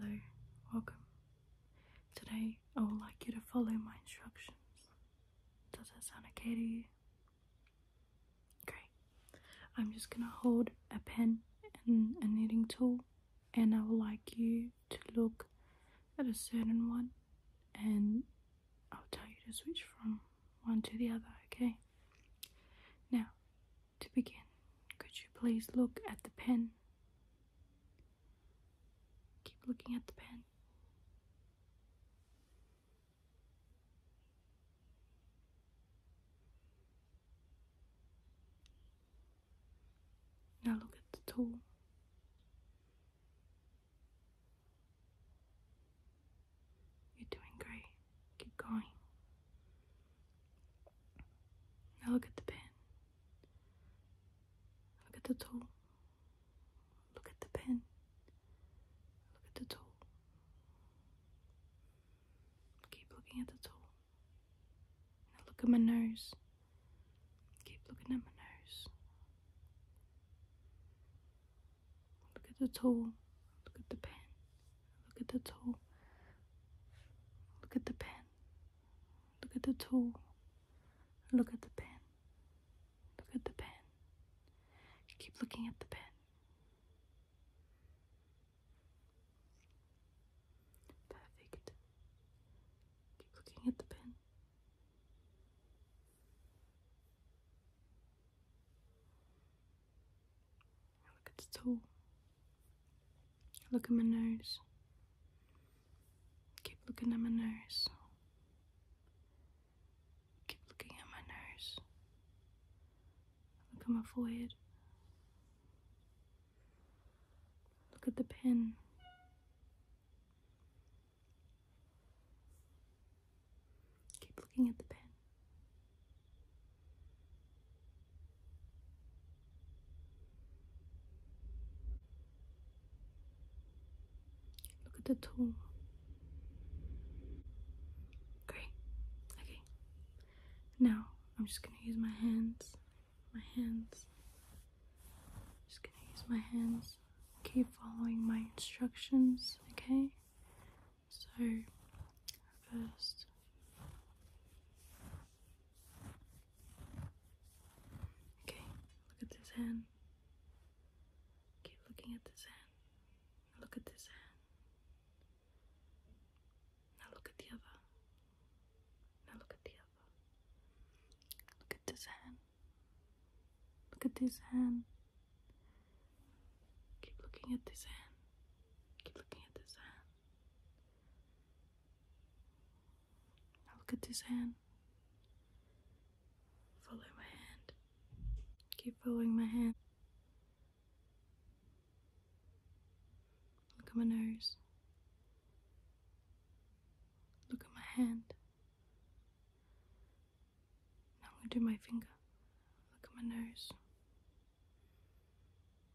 Hello, welcome. Today I would like you to follow my instructions. Does that sound okay to you? Great. I'm just gonna hold a pen and a knitting tool and I would like you to look at a certain one and I'll tell you to switch from one to the other, okay? Now, to begin, could you please look at the pen Keep looking at the pen. Now look at the tool. You're doing great. Keep going. Now look at the pen. Look at the tool. Look at the pen. Look at the tool. Keep looking at the toe. look at my nose. Keep looking at my nose. Look at the toe. Look at the pen. Look at the toe. Look at the pen. Look at the tool. Look at the pen. Look at the pen. Keep looking at the pen. Perfect. Keep looking at the pen. Look at the tool. Look at my nose. Keep looking at my nose. Keep looking at my nose. Look at my forehead. Look at the pen. Keep looking at the pen. Look at the tool. Great. Okay. Now I'm just gonna use my hands. My hands. Just gonna use my hands. Keep following my instructions, okay? So first Okay, look at this hand. Keep looking at this hand. look at this hand. Now look at the other. Now look at the other. Look at this hand. Look at this hand. Keep looking at this hand. Keep looking at this hand. Now look at this hand. Follow my hand. Keep following my hand. Look at my nose. Look at my hand. Now I'm going to do my finger. Look at my nose.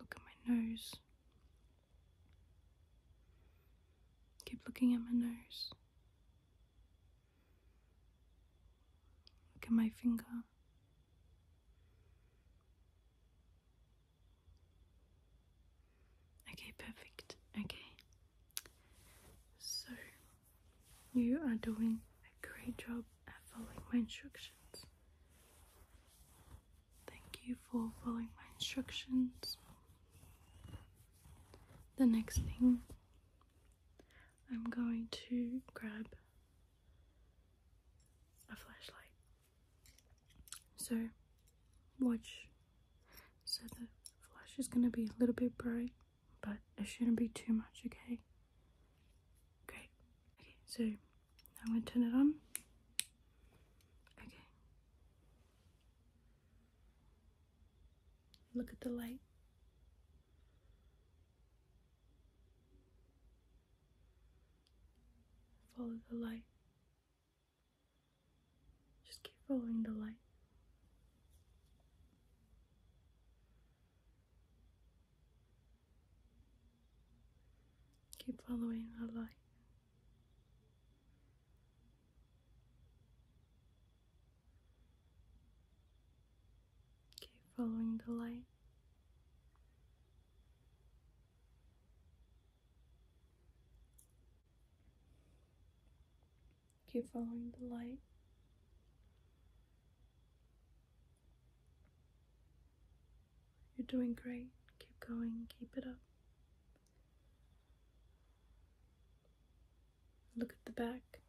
Look at my nose. Keep looking at my nose. Look at my finger. Okay, perfect. Okay. So you are doing a great job at following my instructions. Thank you for following my instructions. The next thing I'm going to grab a flashlight. So watch so the flash is going to be a little bit bright but it shouldn't be too much, okay? Great. Okay, so now I'm going to turn it on. Okay. Look at the light. Follow the light. Just keep following the light. Keep following the light. Keep following the light. Keep following the light. You're doing great. Keep going. Keep it up. Look at the back.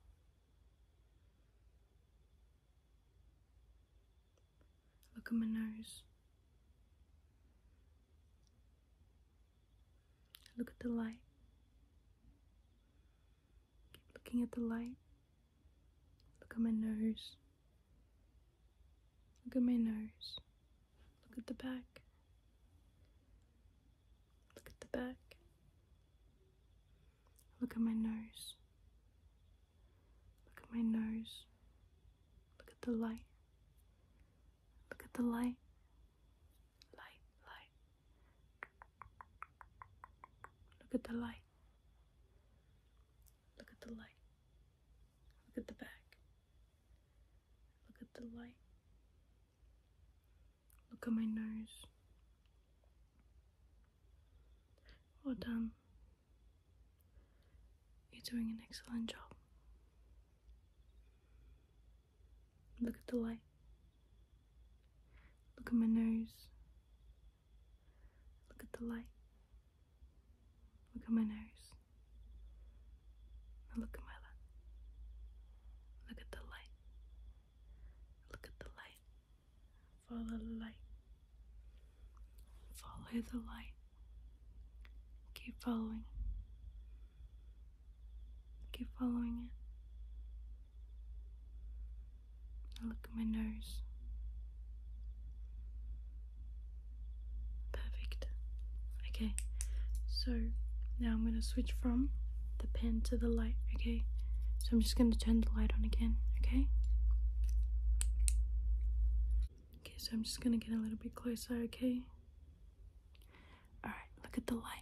Look at my nose. Look at the light. Keep looking at the light. Look at my nose. Look at my nose. Look at the back. Look at the back. Look at my nose. Look at my nose. Look at the light. Look at the light. Light, light. Look at the light. Look at the light. Look at the back. Look at the light. Look at my nose. Well done. You're doing an excellent job. Look at the light. Look at my nose. Look at the light. Look at my nose. look at my lip. Look at the light. Look at the light. Follow the light. Follow the light. Keep following. Keep following it look at my nose. Perfect. Okay, so now I'm going to switch from the pen to the light, okay? So I'm just going to turn the light on again, okay? Okay, so I'm just going to get a little bit closer, okay? Alright, look at the light.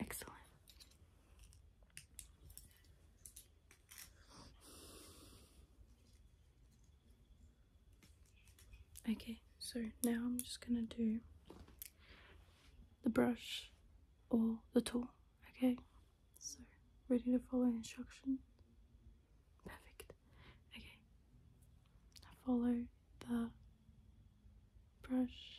Excellent. Okay, so now I'm just gonna do the brush or the tool, okay? So, ready to follow instructions? Perfect. Okay, follow the brush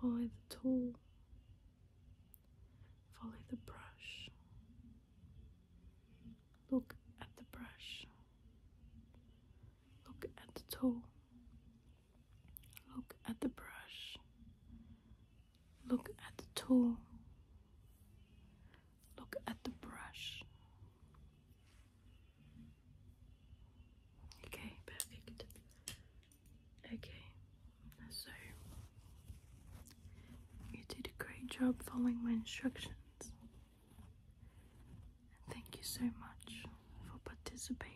Follow the tool, follow the brush, look at the brush, look at the tool, look at the brush, look at the tool, look at the brush. Okay, perfect. Okay, so you did a great job following my instructions. And thank you so much for participating.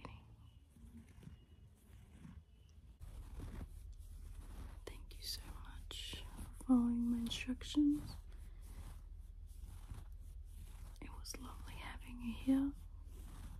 Thank you so much for following my instructions. It was lovely having you here.